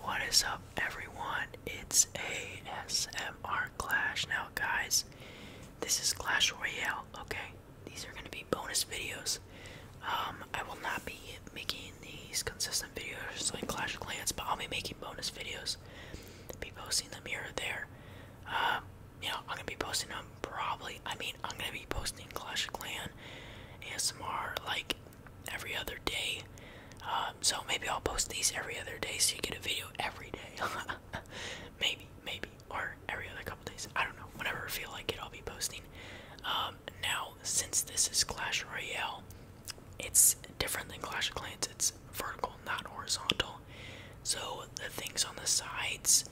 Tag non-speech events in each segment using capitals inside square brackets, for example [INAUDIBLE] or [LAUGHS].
What is up, everyone? It's ASMR Clash. Now, guys, this is Clash Royale, okay? These are going to be bonus videos. Um, I will not be making these consistent videos like Clash of Clans, but I'll be making bonus videos. Be posting them here there. Um, you know, I'm gonna be posting them probably. I mean, I'm gonna be posting Clash of Clan ASMR like every other day. Um, so maybe I'll post these every other day so you get a video every day. [LAUGHS] maybe, maybe, or every other couple days. I don't know. Whenever I feel like it, I'll be posting. Um, now, since this is Clash Royale, it's different than Clash of Clans. It's vertical, not horizontal. So the things on the sides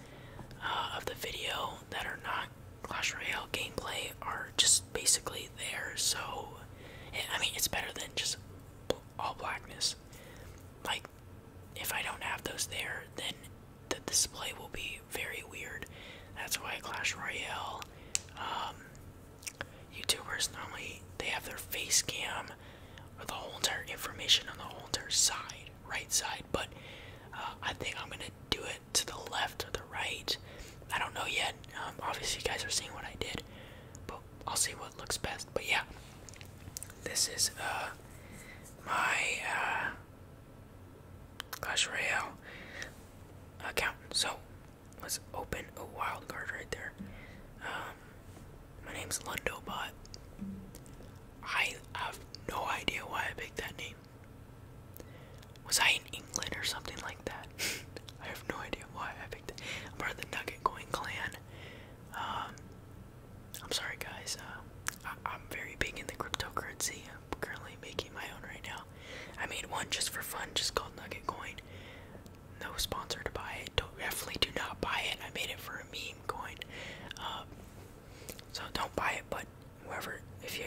uh, of the video that are not Clash Royale gameplay are just basically there. So, eh, I mean, it's better than just all blackness. Like, if I don't have those there, then the display will be very weird. That's why Clash Royale um, YouTubers normally they have their face cam or the holder information on the holder side, right side. But uh, I think I'm gonna do it to the left or the right. I don't know yet. Um, obviously, you guys are seeing what I did, but I'll see what looks best. But yeah, this is uh, my uh, Clash Royale account. So let's open a wild card right there. Um, my name's but I have no idea why I picked that name. Was I in England or something like that? [LAUGHS] I have no idea why I picked it. am part of the Nugget Coin clan. Um, I'm sorry, guys. Uh, I am very big in the cryptocurrency. I'm currently making my own right now. I made one just for fun, just called Nugget Coin. No sponsor to buy it. Don't, definitely do not buy it. I made it for a meme coin. Um, so don't buy it, but whoever, if you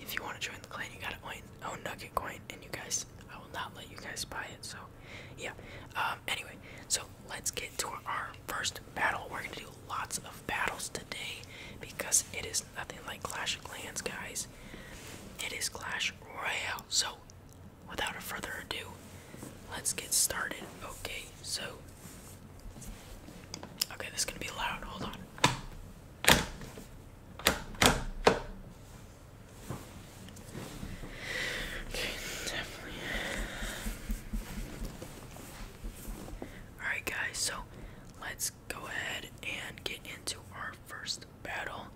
if you want to join the clan, you gotta own, own Nugget Coin, and you guys, I will not let you guys buy it. So, yeah. Um, anyway, so let's get to our first battle. We're gonna do lots of battles today because it is nothing like Clash of Clans, guys. It is Clash Royale. So, without a further ado, let's get started. Okay, so. Okay, this is gonna be loud. Hold on definitely. Alright, guys, so let's go ahead and get into our first battle.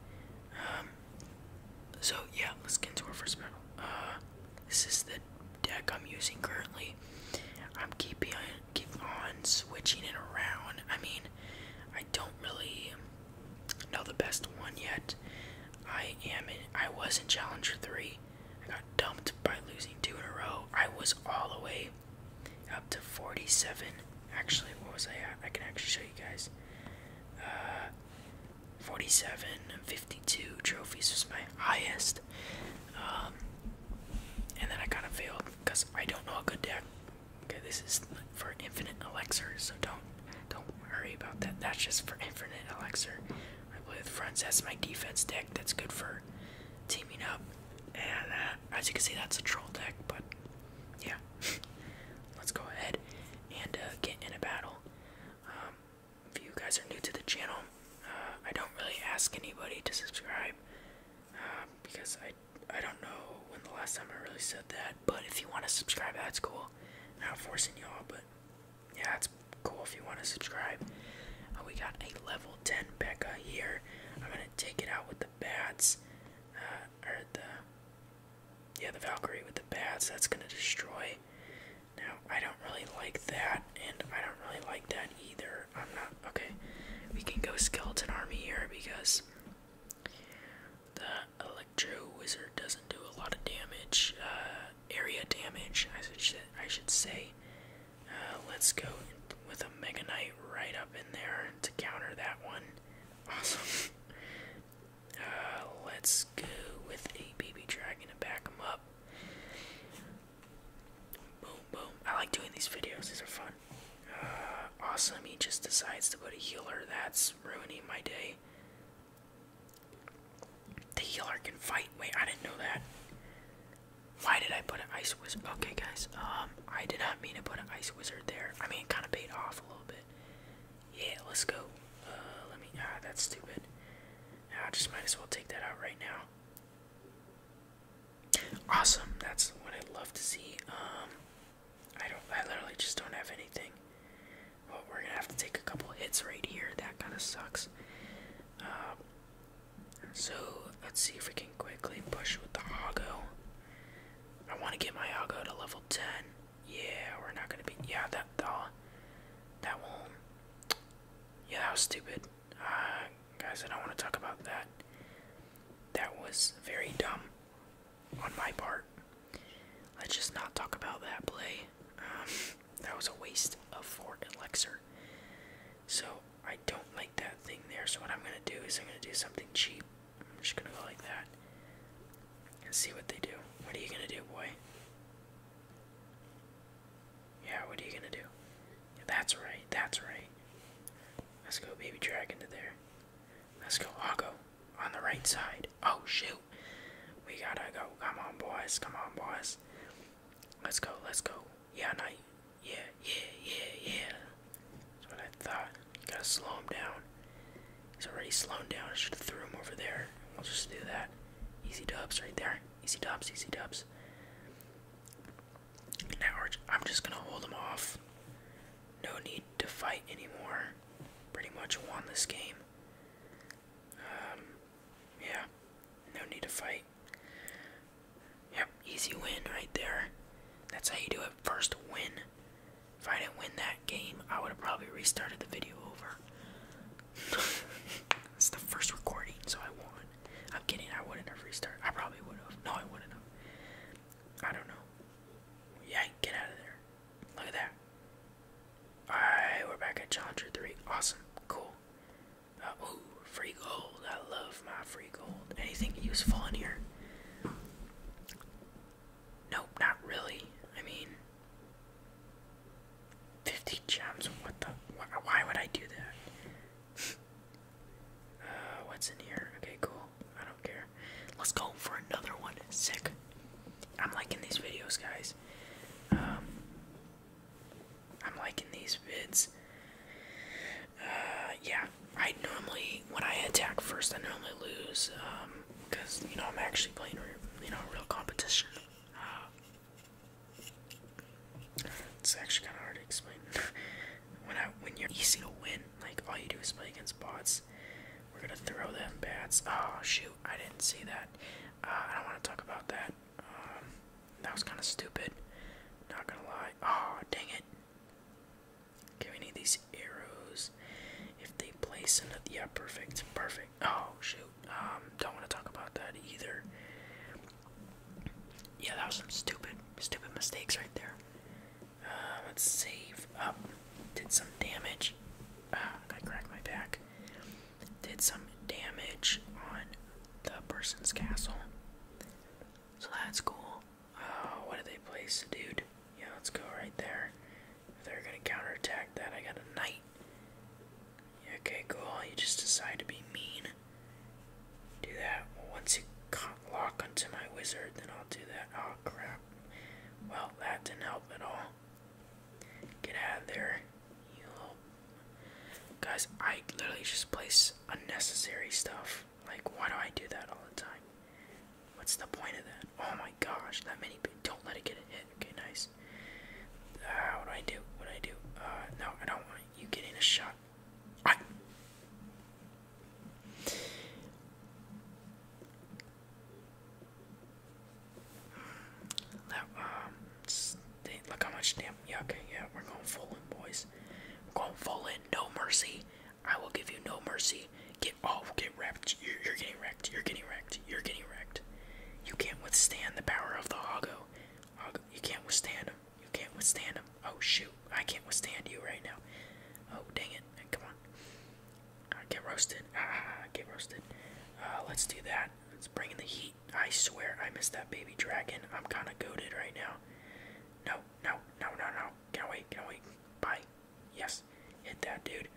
Um, so, yeah, let's get into our first battle. Uh, this is the deck I'm using currently. I'm keeping keep on switching it around. I mean, I don't really know the best one yet. I am I was in Challenger 3. I got dumped by losing two in a row. I was all the way up to 47. Actually, what was I at? I can actually show you guys. Uh, 47 and 52 trophies was my highest. Um, and then I kind of failed because I don't know a good deck. Okay, this is for infinite elixir, so don't don't worry about that. That's just for infinite elixir. I play with friends. That's my defense deck. That's good for teaming up. And uh, as you can see, that's a troll deck. But yeah, [LAUGHS] let's go ahead and uh, get in a battle. Um, if you guys are new to the channel, I don't really ask anybody to subscribe uh, because I I don't know when the last time I really said that. But if you want to subscribe, that's cool. I'm not forcing y'all, but yeah, it's cool if you want to subscribe. Uh, we got a level 10 Becca here. I'm gonna take it out with the bats, uh, or the yeah the Valkyrie with the bats. That's gonna destroy. Now, I don't really like that, and I don't really like that either. I'm not. Okay. We can go Skeleton Army here because the Electro Wizard doesn't do a lot of damage, uh, area damage, I should, I should say. Uh, let's go with a Mega Knight right up in there to counter that one. Awesome. [LAUGHS] Uh, let's go with a Baby Dragon to back him up. Boom, boom. I like doing these videos. These are fun. Uh, awesome. He just decides to put a healer. That's ruining my day. The healer can fight. Wait, I didn't know that. Why did I put an ice wizard? Okay, guys. Um, I did not mean to put an ice wizard there. I mean, it kind of paid off a little bit. Yeah, let's go. Uh, let me. Ah, that's stupid. Now I just might as well take that out right now. Awesome, that's what I'd love to see. Um, I don't. I literally just don't have anything. Well, we're gonna have to take a couple hits right here. That kind of sucks. Um, so let's see if we can quickly push with the Hago. I want to get my Hago to level ten. Yeah, we're not gonna be. Yeah, that the, that won't yeah, that was stupid. Uh, guys, I don't want to talk about that. That was very dumb on my part. Let's just not talk about that play. Um, that was a waste of Fort Elixir. So, I don't like that thing there. So, what I'm going to do is I'm going to do something cheap. I'm just going to go like that and see what they do. What are you going to do, boy? Yeah, what are you gonna do? that's right, that's right. Let's go baby dragon to there. Let's go Hawko on the right side. Oh shoot. We gotta go. Come on boys, come on boys. Let's go, let's go. Yeah, night. Yeah, yeah, yeah, yeah. That's what I thought. Gotta slow him down. He's already slowed down. I should have threw him over there. I'll just do that. Easy dubs right there. Easy dubs, easy dubs. Now I'm just gonna hold them off. No need to fight anymore. Pretty much won this game. Um, yeah, no need to fight. Yep, easy win right there. That's how you do it. First win. If I didn't win that game, I would have probably restarted the video over. [LAUGHS] it's the first recording, so I won. I'm kidding, I wouldn't have restarted. I probably would have. No, I wouldn't have. I don't know. Yeah, get out of there. Look at that. Alright, we're back at Challenger 3. Awesome. Cool. Uh, free gold. I love my free gold. Anything useful in here? Nope, not really. I mean, Fifty gems. What the? why would I do that? [LAUGHS] uh, what's in here? Okay, cool. I don't care. Let's go for another one. Sick. I'm liking these videos, guys. Um, I'm liking these vids. Uh, yeah. I normally when I attack first, I normally lose. Um, because you know I'm actually playing you know real competition. it's actually kind of hard to explain. [LAUGHS] when I when you're easy to win, like all you do is play against bots. We're gonna throw them bats. Oh shoot, I didn't see that. Uh, I don't want to talk about that. Um, that was kind of stupid. Not gonna lie. Oh dang it. Okay, we need these arrows. If they place another, yeah, perfect, perfect. Oh shoot, um, don't want to talk about that either. Yeah, that was some stupid, stupid mistakes right there. Uh, let's save up. Did some damage. Ah, I cracked my back. Did some damage on the person's castle. So that's cool. Uh, what did they place, dude? Yeah, let's go right there. They're gonna counterattack that. I got a knight. Okay, cool. You just decide to be mean. Do that. Once you lock onto my wizard, then I'll do that. Oh, crap. Well, that didn't help at all. Get out of there, you little... Guys, I literally just place unnecessary stuff. Like, why do I do that all the time? What's the point of that? Oh my gosh, that many people. Don't let it get hit. Okay, nice. Ah, what do I do? What do I do? Uh, no, I don't want you getting a shot. I. That, um, look how much damn. Yeah, yeah, we're going full in, boys. We're going full in, no mercy. I will give you no mercy. Get off, get wrecked. You're, you're getting wrecked. getting wrecked. You can't withstand the power of the Hago. Hago you can't withstand him. You can't withstand him. Oh shoot! I can't withstand you right now. Oh dang it! Come on. Uh, get roasted. Ah, ah, ah get roasted. Uh, let's do that. Let's bring in the heat. I swear I missed that baby dragon. I'm kind of goaded right now. No, no, no, no, no. Get away, get away. Bye. Yes, hit that, dude.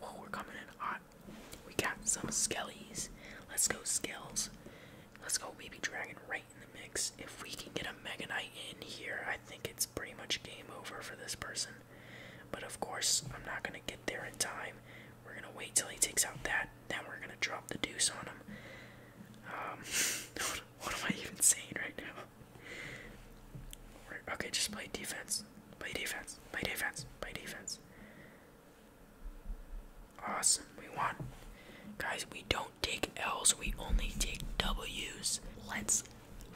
we're coming in hot. We got some skellies. Let's go, skells. Let's go, baby dragon, right in the mix. If we can get a Mega in here, I think it's pretty much game over for this person. But of course, I'm not going to get there in time. We're going to wait till he takes out that. Then we're going to drop the deuce on him. Um, [LAUGHS] what am I even saying right now? Okay, just play defense. Play defense. Play defense. Play defense. Awesome. We won. Guys, we don't take L's, we only take W's. Let's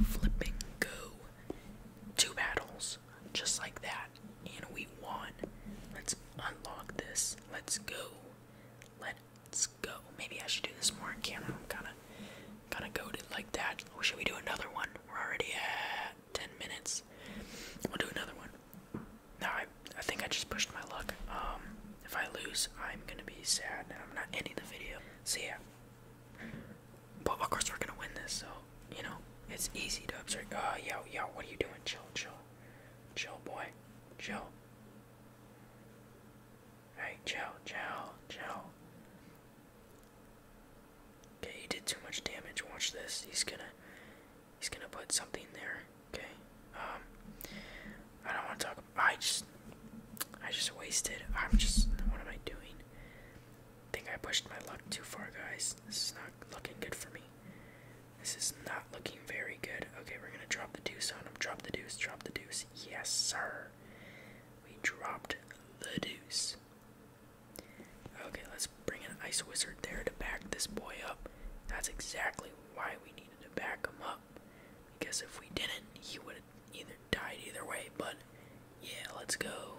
flipping go. Two battles, just like that. And we won. Let's unlock this. Let's go. Let Let's go. Maybe I should do this more on camera. I'm kind of kind of goaded like that. Or should we do another one? We're already at 10 minutes. We'll do another one. No, I, I think I just pushed my luck. Um, if I lose, I'm gonna be sad I'm not ending the video. So yeah. But of course we're gonna win this, so you know it's easy to observe. Uh, yo, yo, what are you doing? Chill, chill, chill, boy, chill. Alright, Chow, Chow, Chow. Okay, he did too much damage. Watch this. He's gonna he's gonna put something there. Okay. Um I don't wanna talk I just I just wasted I'm just what am I doing? think I pushed my luck too far guys. This is not looking good for me. This is not looking very good. Okay, we're gonna drop the deuce on him. Drop the deuce, drop the deuce. Yes, sir. We dropped the deuce. Okay, let's bring an ice wizard there to back this boy up. That's exactly why we needed to back him up. Because if we didn't, he would have either died either way. But yeah, let's go.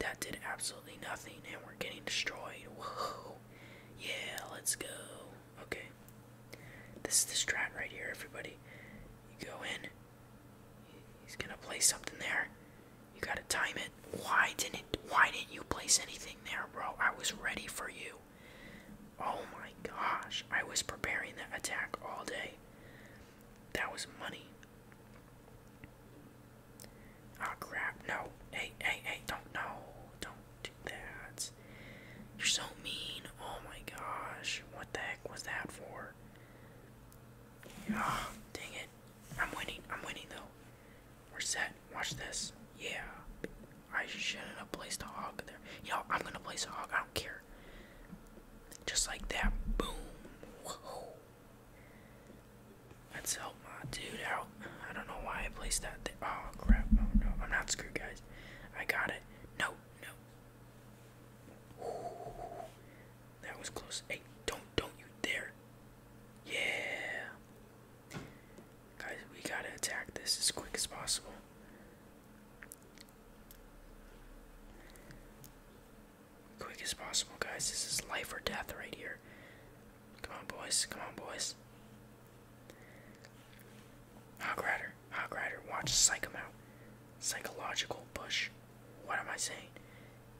That did absolutely nothing, and we're getting destroyed. Whoa. Yeah, let's go. Okay. This is the strat right here, everybody. You go in. He's gonna play something there. You gotta time it. Why didn't why didn't you place anything there, bro? I was ready for you. Oh my gosh. I was preparing that attack all day. That was money. oh, crap. No. Hey, hey, hey, don't no. Don't do that. You're so mean. Oh my gosh. What the heck was that for? oh, dang it. I'm winning. I'm winning though. We're set. Watch this. Yeah. I shouldn't have placed a hog there. You know, I'm gonna place a hog. I don't care. Just like that. Boom. Let's help my dude out. I don't know why I placed that Oh crap. Oh no. I'm not screwed, guys. I got it. No, no. that was close. Hey, don't, don't you dare. Yeah. Guys, we gotta attack this as quick as possible. Quick as possible, guys. This is life or death right here. Come on, boys. Come on, boys. Hog Rider, Hog Rider, watch Psych him Psychological push. What am I saying?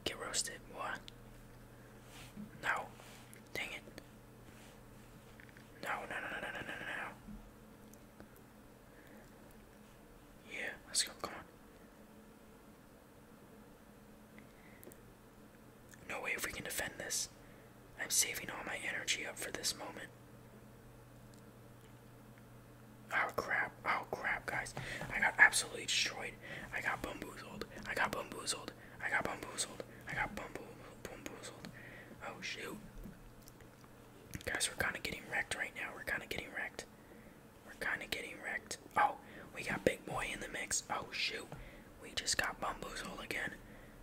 Get roasted. What? No. Dang it. no, no, no, no, no, no, no. Yeah, let's go. Come on. No way if we can defend this. I'm saving all my energy up for this moment. Oh crap, oh crap, guys. I got absolutely destroyed. I got bamboozled. I got bamboozled. I got bamboozled. I got bamboozled. Oh shoot. Guys, we're kind of getting wrecked right now. We're kind of getting wrecked. We're kind of getting wrecked. Oh, we got Big Boy in the mix. Oh shoot. We just got bamboozled again.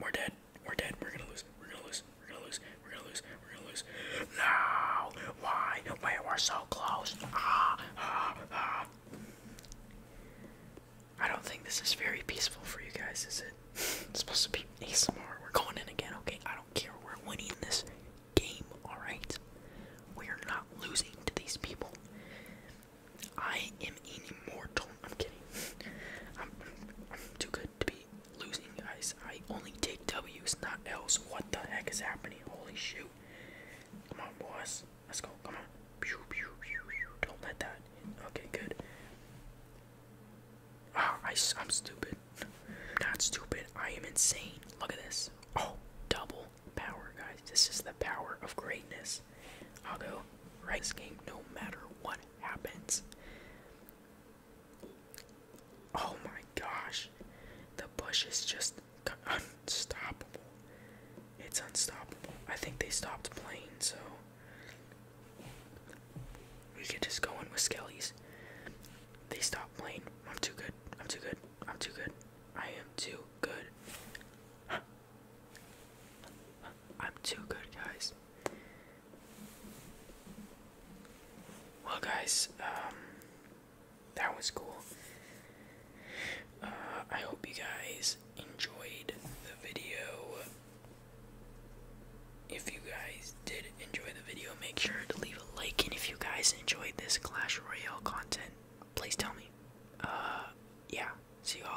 we're dead. We're dead. We're gonna lose. We're gonna lose. We're gonna lose. We're gonna lose. We're gonna lose. No! Why? We were so close. Ah, ah, ah. I don't think this is very peaceful for you guys, is it? [LAUGHS] It's supposed to be ASMR. We're going in again, okay? I don't care. We're winning this game, alright? We are not losing to these people. I am an immortal. I'm kidding. [LAUGHS] I'm, I'm, I'm too good to be losing, guys. I only take W's, not L's. What the heck is happening? Holy shoot. Come on, boys. Let's go. Come on. Pew, pew, pew, pew. Don't let that. Okay, good. Ah, I, I'm stupid. Not stupid. I am insane. Look at this. Oh, double power, guys. This is the power of greatness. I'll go right this game no matter what happens. Oh my gosh. The bush is just unstoppable. It's unstoppable. I think they stopped playing, so we could just go in with Skellies. They stopped playing. I'm too good. I'm too good. I'm too good. I am too good. I'm too good, guys. Well, guys, um, that was cool. Uh, I hope you guys enjoyed the video. If you guys did enjoy the video, make sure to leave a like. And if you guys enjoyed this Clash Royale content, please tell me. Uh, yeah. See y'all